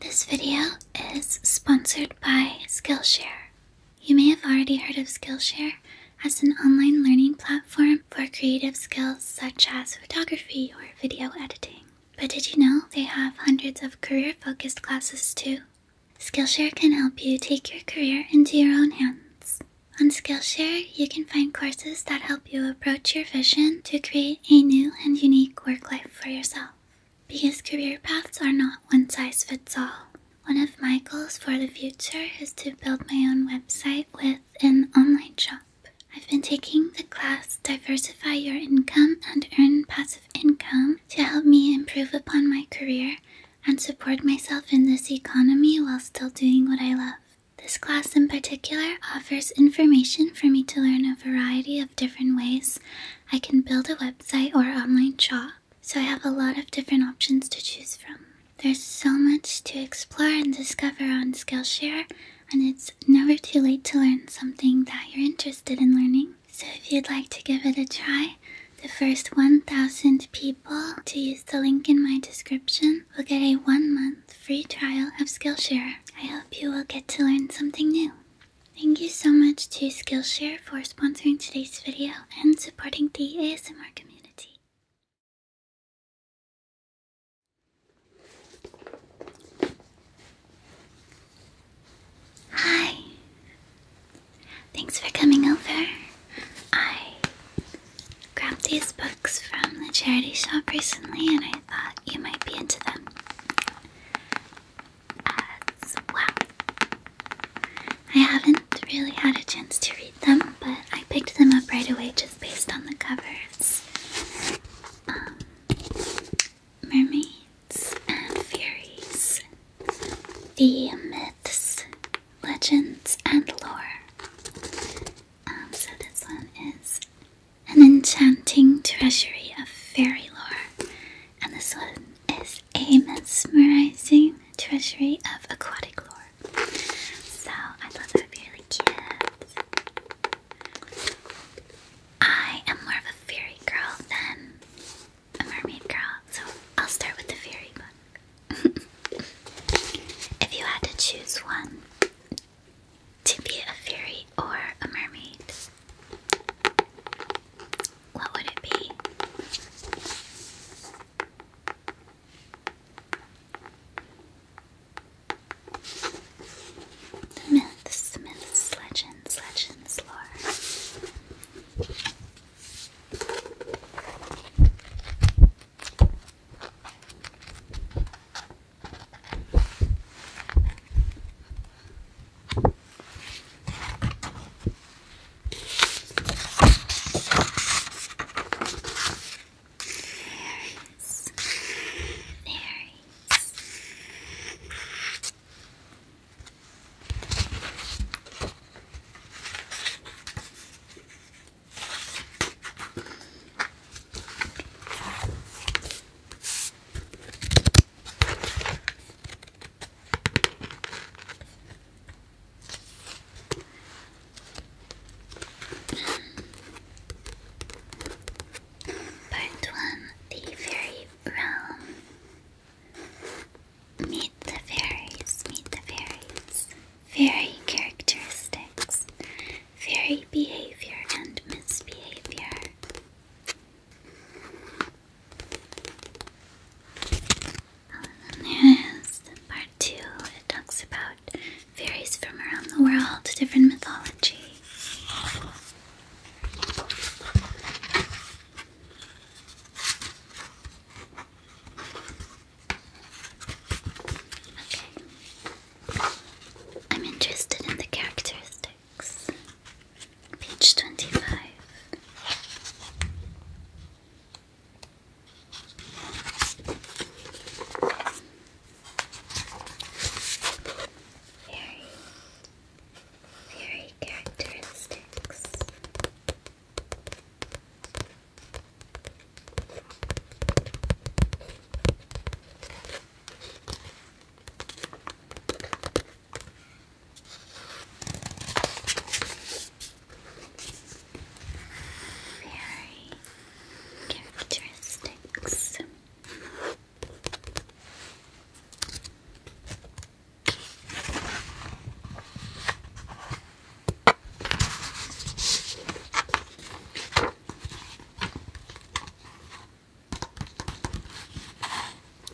This video is sponsored by Skillshare. You may have already heard of Skillshare as an online learning platform for creative skills such as photography or video editing. But did you know they have hundreds of career focused classes too? Skillshare can help you take your career into your own hands. On Skillshare, you can find courses that help you approach your vision to create a new and unique work life for yourself. Because career paths are not one size fits all. One of my goals for the future is to build my own website with an online shop. I've been taking the class Diversify Your Income and Earn Passive Income to help me improve upon my career and support myself in this economy while still doing what I love. This class in particular offers information for me to learn a variety of different ways I can build a website or online shop, so I have a lot of different options to choose from. There's so much to explore and discover on Skillshare, and it's never too late to learn something that you're interested in learning. So if you'd like to give it a try, the first 1,000 people to use the link in my description will get a one month free trial of Skillshare. I hope you will get to learn something new. Thank you so much to Skillshare for sponsoring today's video and supporting the ASMR community. Hi. Thanks for coming over. I grabbed these books from the charity shop recently and I thought you might be into them as well. I haven't really had a chance to read them, but I picked them up right away just based on the covers. Um, mermaids and fairies, the myths, legends, and lore. Um, so this one is an enchanting treasury of fairy lore, and this one is a mesmerizing treasury of aquatic lore. So I thought that would be really cute. I am more of a fairy girl than a mermaid girl, so I'll start with the fairy book. if you had to choose one to be a fairy or a mermaid, what would it be? Myths, myths, legends, legends, lore is. There is. Part one, the fairy realm. Meet the fairies, meet the fairies. Fairy characteristics, fairy behavior and misbehavior, and part two. It talks about fairies from around the world, different mythology. Okay. I'm interested in the characters page 25. Very, very characteristics. Very characteristics.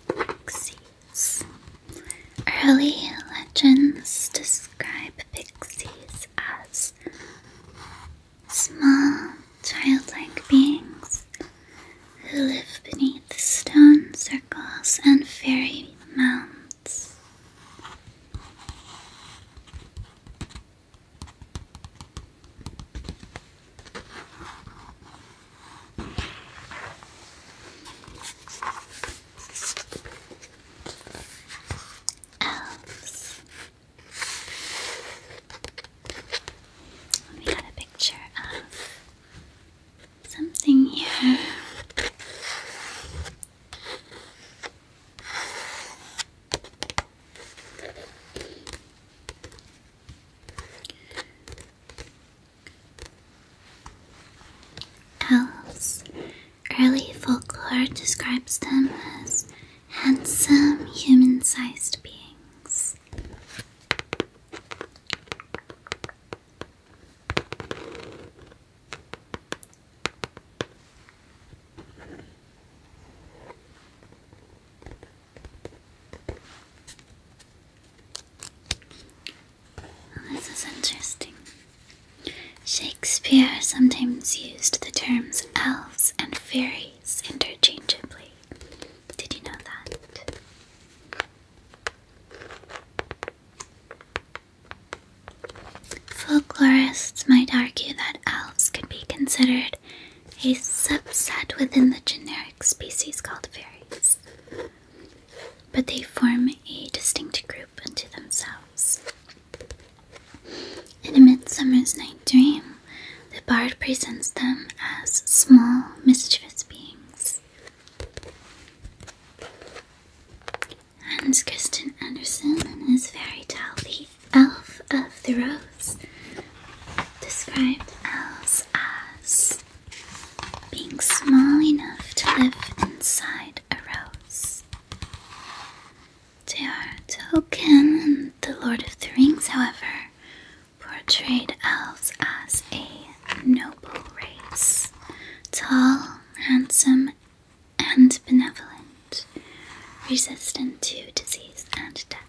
Pixies. Early legends describe pixies as small, childlike beings who live beneath stone circles and fairy mounds. We got a picture of something here. Elves. Early folklore describes them as handsome, human sized beings. Oh, this is interesting. Shakespeare sometimes used the terms elves and fairies interchangeably. Did you know that? Folklorists might argue that elves could be considered a subset within the generic species called fairies, but they form a distinct group unto themselves. In A Midsummer's Night Dream, the bard presents them as small, mischievous beings. Hans Christian Andersen, is his fairy tale the elf of the rose, described elves as being small enough to live inside a rose. They are Tolkien and the Lord of the Rings, however, portrayed elves as a noble race, tall, handsome, and benevolent, resistant to disease and death.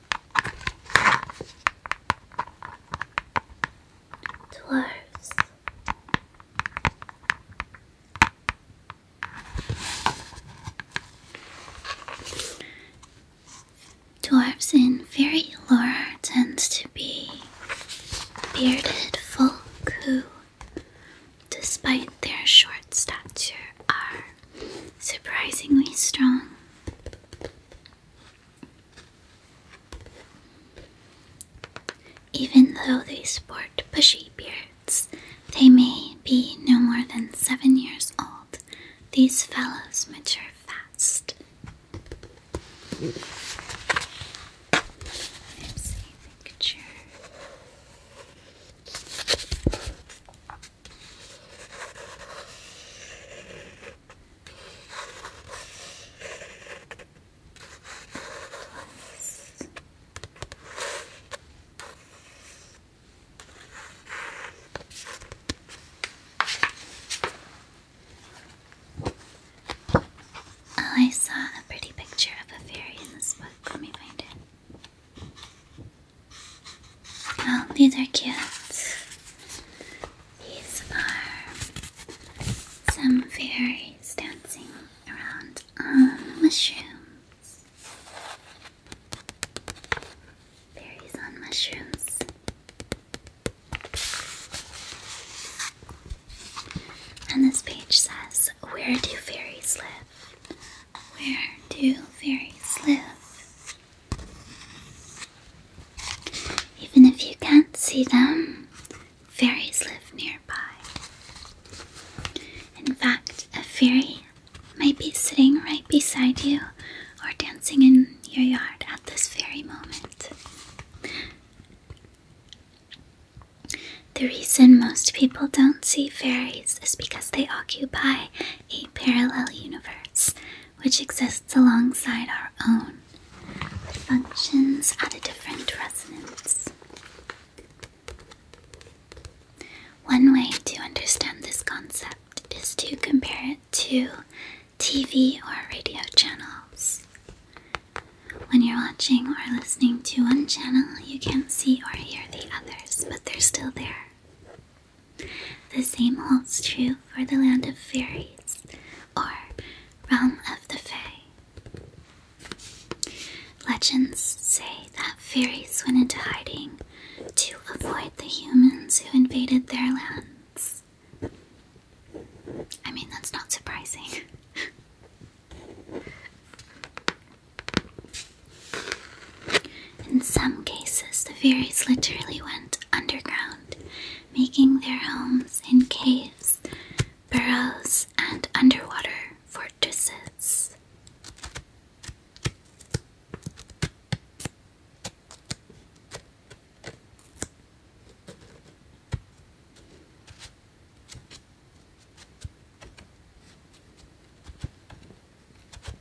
dwarfs. Dwarfs in fairy lore tend to be bearded folk who, despite their short stature, are surprisingly strong. Even though they sport bushy beards, they may be no more than seven years old. These fellows mature fast. picture. Oh, I saw a pretty picture of a fairy in this book. Let me find it. Oh, these are cute. These are some fairies dancing around on um, mushrooms. Fairies on mushrooms. And this page says, Where do fairies live? Where do fairies live? Even if you can't see them, fairies live nearby. In fact, a fairy might be sitting right beside you or dancing in your yard at this very moment. The reason most people don't see fairies is because they occupy a parallel universe which exists alongside our own, functions at a different resonance. One way to understand this concept is to compare it to TV or radio channels. When you're watching or listening to one channel, you can't see or hear the others, but they're still there. The same holds true for the land of fairies, or realm of the fae. Legends say that fairies went into hiding to avoid the humans who invaded their lands. I mean, that's not surprising. In some cases, the fairies literally went underground, making their homes in caves, burrows, and underwater fortresses.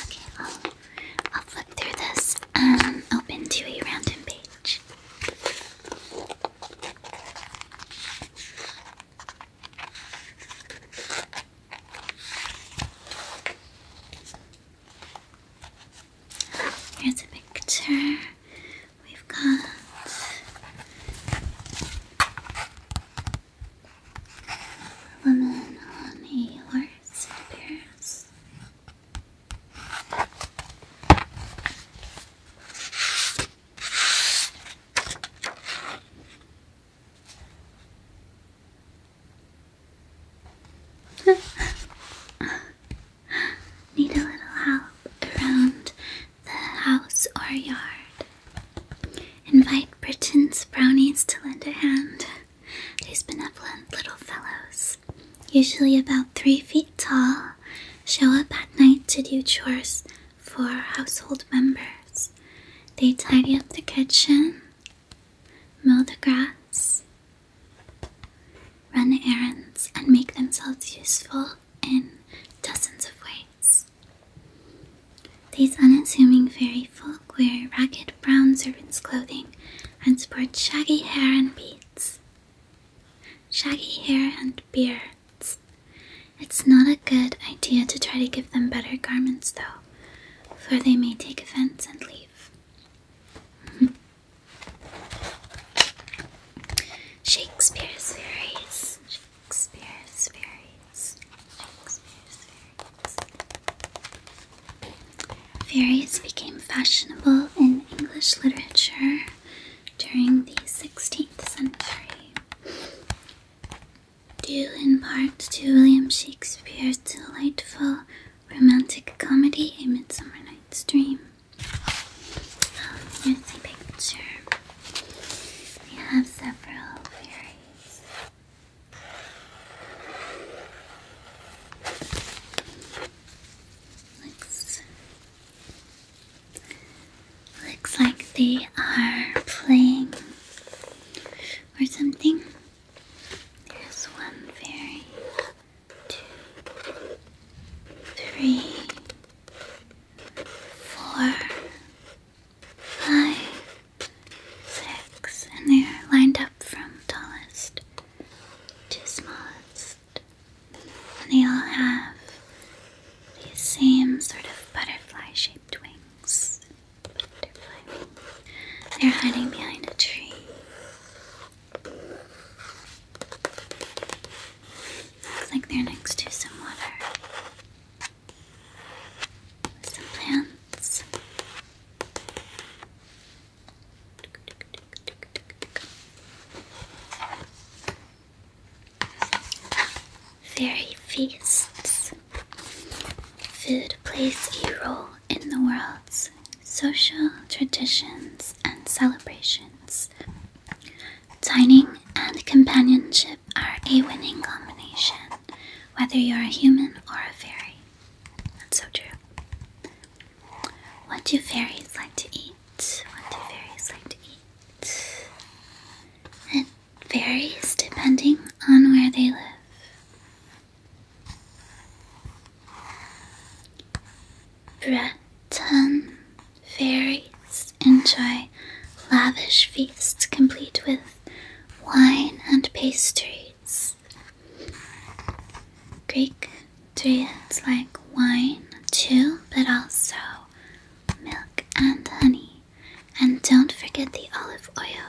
Okay, well, I'll flip through this and um, open to a random page. Here's a picture. We've got a woman on a horse, Need a little help around the house or yard. Invite Britain's brownies to lend a hand. These benevolent little fellows, usually about three feet tall, show up at night to do chores for household members. They tidy up the kitchen, mow the grass, run errands, and make themselves useful in dozens of ways. These unassuming fairy folk wear ragged brown servants' clothing and sport shaggy hair and beards. Shaggy hair and beards. It's not a good idea to try to give them better garments, though, for they may take offense and leave. Shakespeare's fairies. Fairies became fashionable in English literature during the 16th century, due in part to William Shakespeare's delightful romantic comedy, A Midsummer Night's Dream. here's the picture. We have several fairies. Looks, looks like they are playing or something. There's one fairy, two, three, four, five, six, and they're lined up from tallest to smallest. And they all have these same sort of butterfly shaped wings. They're hiding behind a tree. Looks like they're next to some water. Some plants. Fairy feasts. Food plays a role in the world's social traditions and celebrations. Dining and companionship are a winning combination, whether you're a human or a fairy. That's so true. What do fairies like to eat? What do fairies like to eat? It varies depending on where they live. Breton fairies enjoy lavish feasts complete with wine and pastries. Greek dryades like wine too, but also milk and honey. And don't forget the olive oil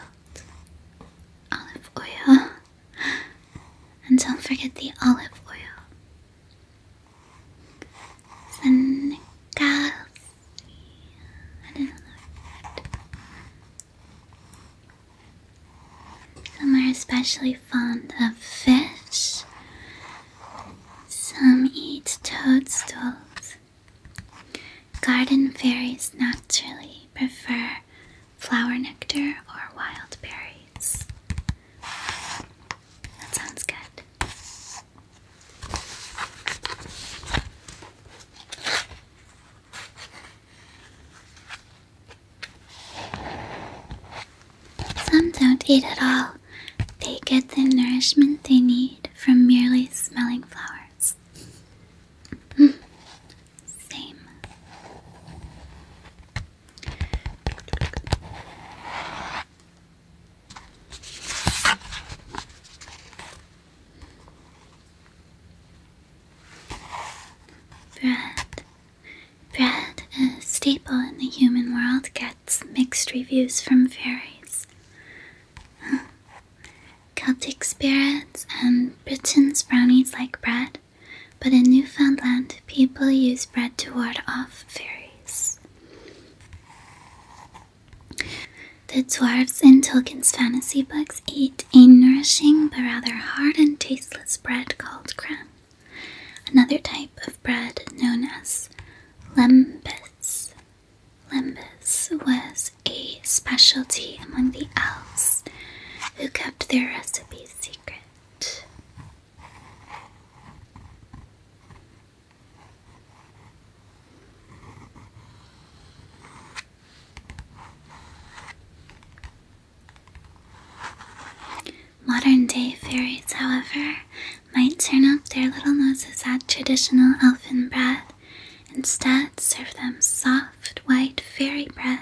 olive oil. And don't forget the olive oil. Senegal. I don't know that. Some are especially fond of fish. Some eat toadstools. Garden fairies naturally prefer flower nectar, or wild berries. That sounds good. Some don't eat at all. They get the nourishment they need from merely smelling flowers. Mm same. Bread. Bread, a staple in the human world, gets mixed reviews from fairies. Celtic spirits and Britain's brownies like bread, but in Newfoundland people use bread to ward off fairies. The dwarves in Tolkien's fantasy books eat a nourishing but rather hard and tasteless bread called cran, another type of bread known as lembis. Lembis was a specialty among the elves who kept their recipes secret. Modern day fairies, however, might turn up their little noses at traditional elfin bread Instead, serve them soft, white fairy bread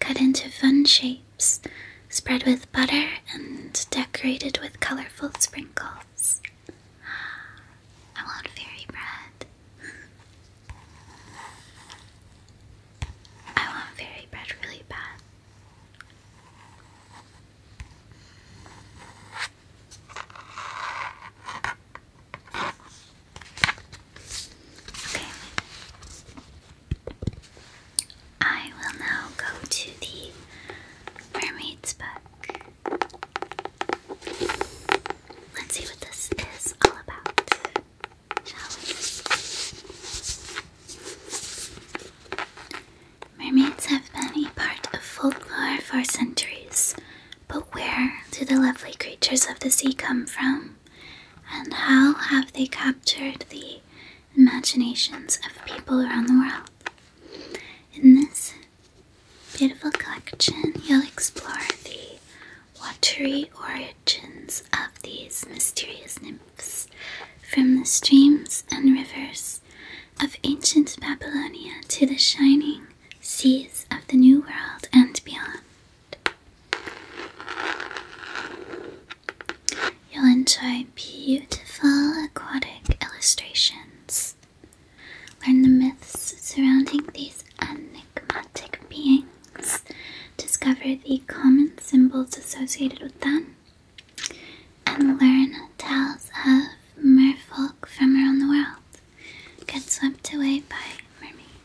cut into fun shapes, spread with butter, and decorated with colorful sprinkles. I want fairy bread. I want fairy bread really bad. Okay. I will now go to the mermaid's book. Let's see what this is all about, Mermaids have been a part of folklore for centuries. But where do the lovely creatures of the sea come from? And how have they captured the imaginations of people around the world? In this beautiful collection, you'll explore the watery origins of these mysterious nymphs from the streams and rivers of ancient Babylonia to the shining seas of the New World and beyond. You'll enjoy beautiful aquatic illustrations. Learn the myths surrounding these enigmatic beings, discover the common symbols associated with them, and learn tales of merfolk from around the world. Get swept away by mermaids.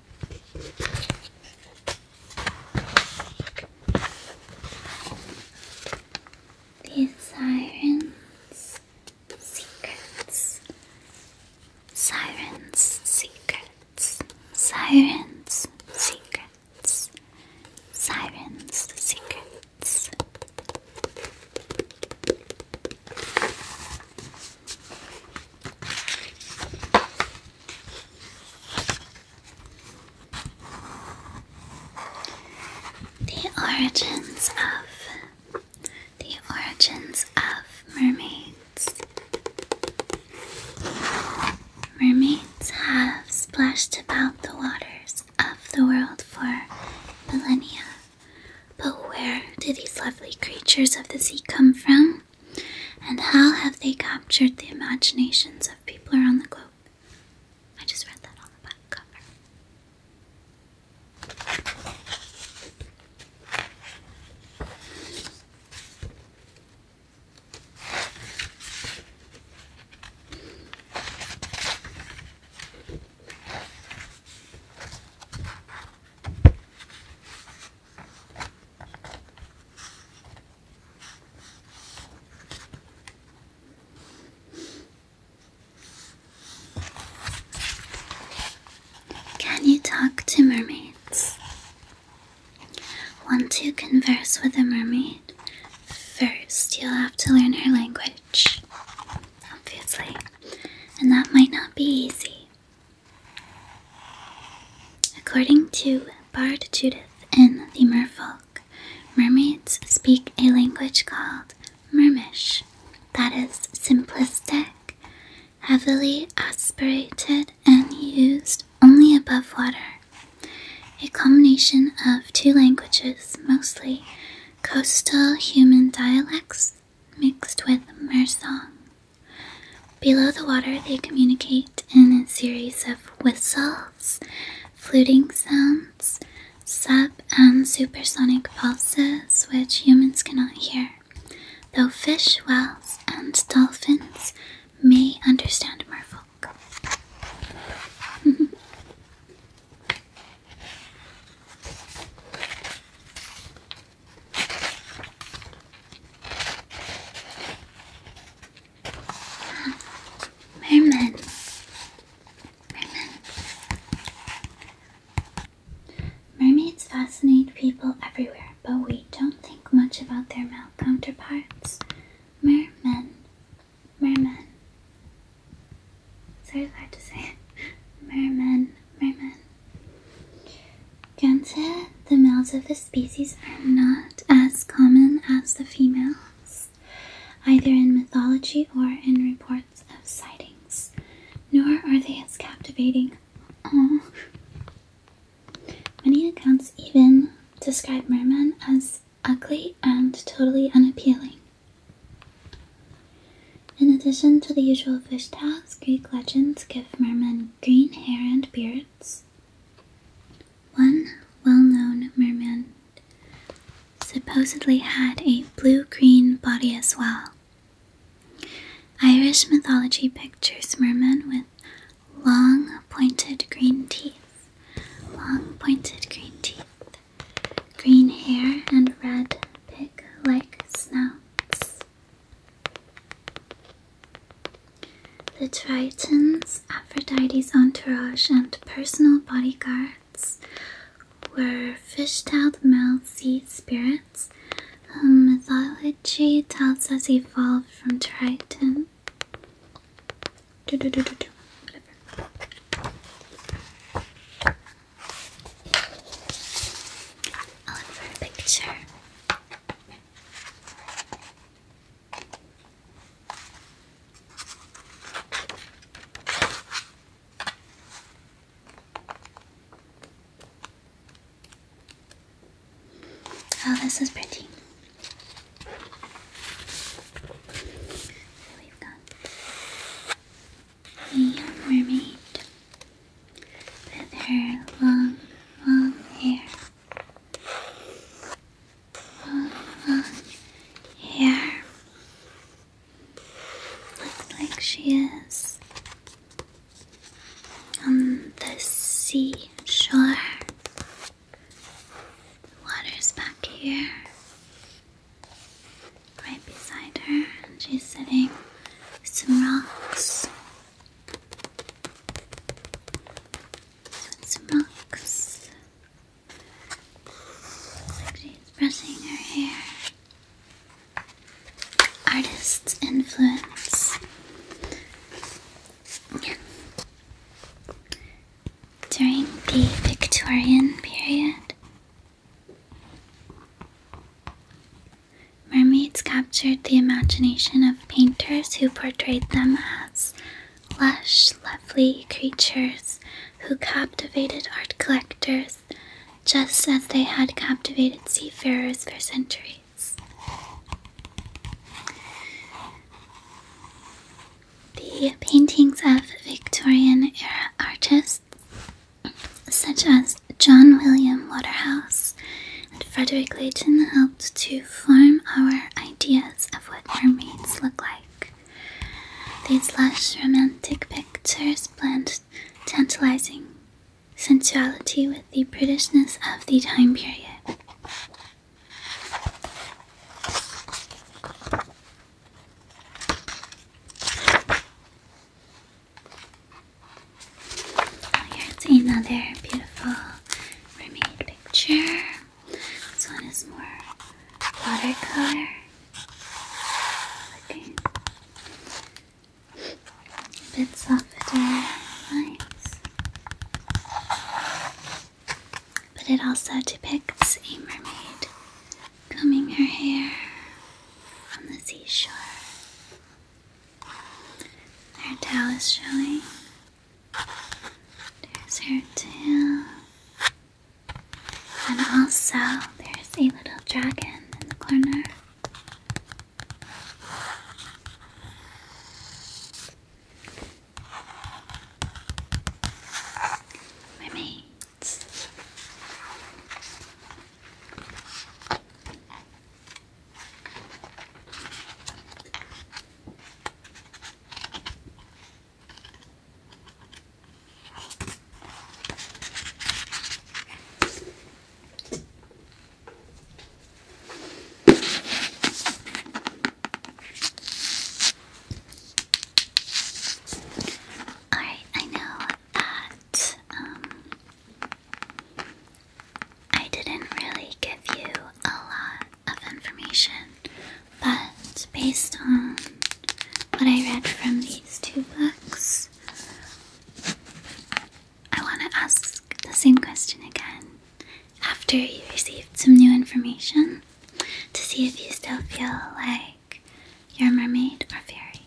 The Siren's Secrets. Siren's Secrets. Siren's Secrets. Siren's Secrets. The origins of the origins of mermaids. Mermaids have splashed about the waters of the world for millennia. But where do these lovely creatures of the sea come from? And how have they captured the imaginations of people around the globe? I just read that on the back cover. Can you talk to mermaids? Want to converse with a mermaid? First, you'll have to learn her language, obviously, and that might not be easy. According to Bard Judith in The Merfolk, mermaids speak a language called Mermish that is simplistic, heavily aspirated, and used only above water. A combination of two languages, mostly coastal human dialects mixed with Mersong. Below the water, they communicate in a series of whistles, fluting sounds, sub and supersonic pulses, which humans cannot hear, though fish, whales, and dolphins may understand merfolk. Merman. Mermaids fascinate people everywhere, but we don't think much about their male counterparts. Mermen. Mermen. It's hard to say. Mermen. Mermen. Granted, the males of this species are not as common as the females, either in mythology or in reports of sightings, nor are they as captivating. Oh. Many accounts even describe mermen as ugly and totally unappealing. In addition to the usual fish tails, Greek legends give mermen green hair and beards, one well known merman supposedly had a blue green body as well. Irish mythology pictures merman with long pointed green teeth, long pointed green teeth, green hair, and red pig like snouts. The Tritons, Aphrodite's entourage, and personal bodyguards were fishtailed, out male sea spirits mythology tells us evolved from Triton. Do, do, do, do, do. I'll look for a picture. Oh, this is pretty. We've got the mermaid with her long, long hair. Here. Looks like she is on the seashore. Water's back here, right beside her, and she's sitting some rocks. It's Mox. Like she's brushing her hair. Artist's influence. During the Victorian period, mermaids captured the imagination of painters who portrayed them as lush, lovely creatures who captivated art collectors just as they had captivated seafarers for centuries. The paintings of Victorian era artists, such as John William Waterhouse Frederick Leighton helped to form our ideas of what mermaids look like. These lush, romantic pictures blend tantalizing sensuality with the Britishness of the time period. Oh, Here's another beautiful mermaid picture. This one is more watercolor. Looking bits of softer lines. But it also depicts a mermaid combing her hair on the seashore. Her tail is showing. There's her tail. And also, there's a little dragon in the corner. Mermaids. Alright, I know that um, I didn't really give you a lot of information, but based on what I read from these two books, I want to ask the same question again after you received some new information to see if you still feel like you're a mermaid or fairy.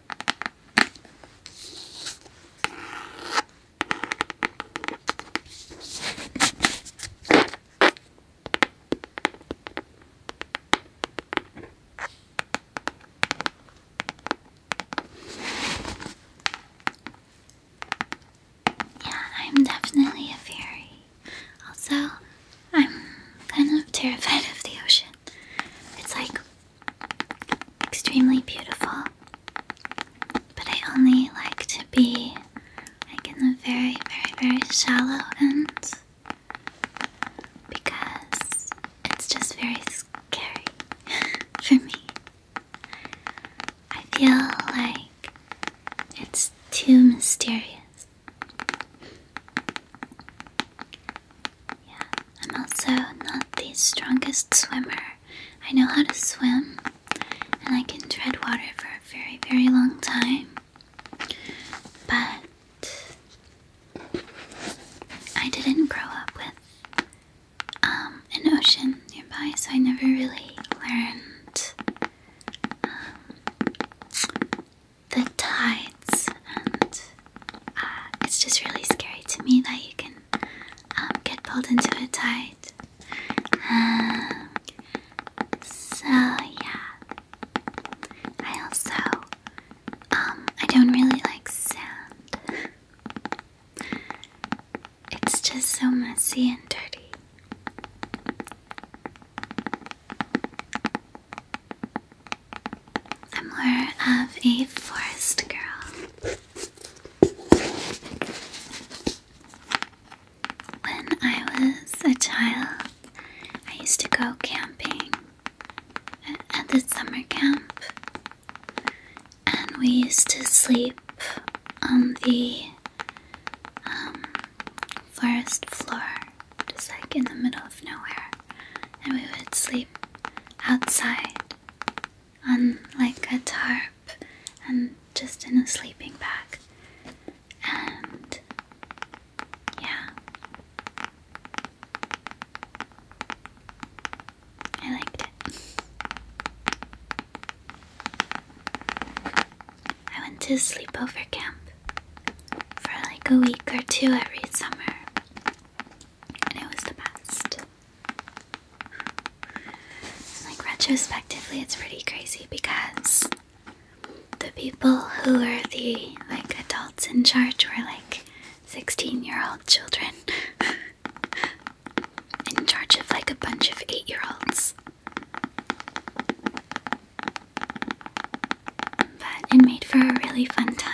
Yeah, I'm definitely a fairy. Also, I'm kind of terrified of the ocean. It's like extremely beautiful, but I only like to be like in the very, very, very shallow end because it's just very scary for me. I feel like it's too mysterious. Yeah, I'm also not the strongest swimmer. I know how to swim, and I can tread water for a very, very long time. But I didn't grow up with um, an ocean nearby, so I never really learned um, the tides, and uh, it's just really scary to me that you can um, get pulled into a tide. Um, so yeah, I also um, I don't really like sound. It's just so messy and dirty. I'm more of a forest girl. When I was a child, I used to go camping at the summer camp, and we used to sleep on the um, forest floor just like in the middle of nowhere, and we would sleep outside on like a tarp and just in a sleeping bag. And yeah, I liked it. I went to sleepover camp for like a week or two every summer and it was the best. Like retrospectively, it's pretty crazy because the people who were the like adults in charge were like 16 year old children in charge of like a bunch of 8 year olds. But it made for a really fun time.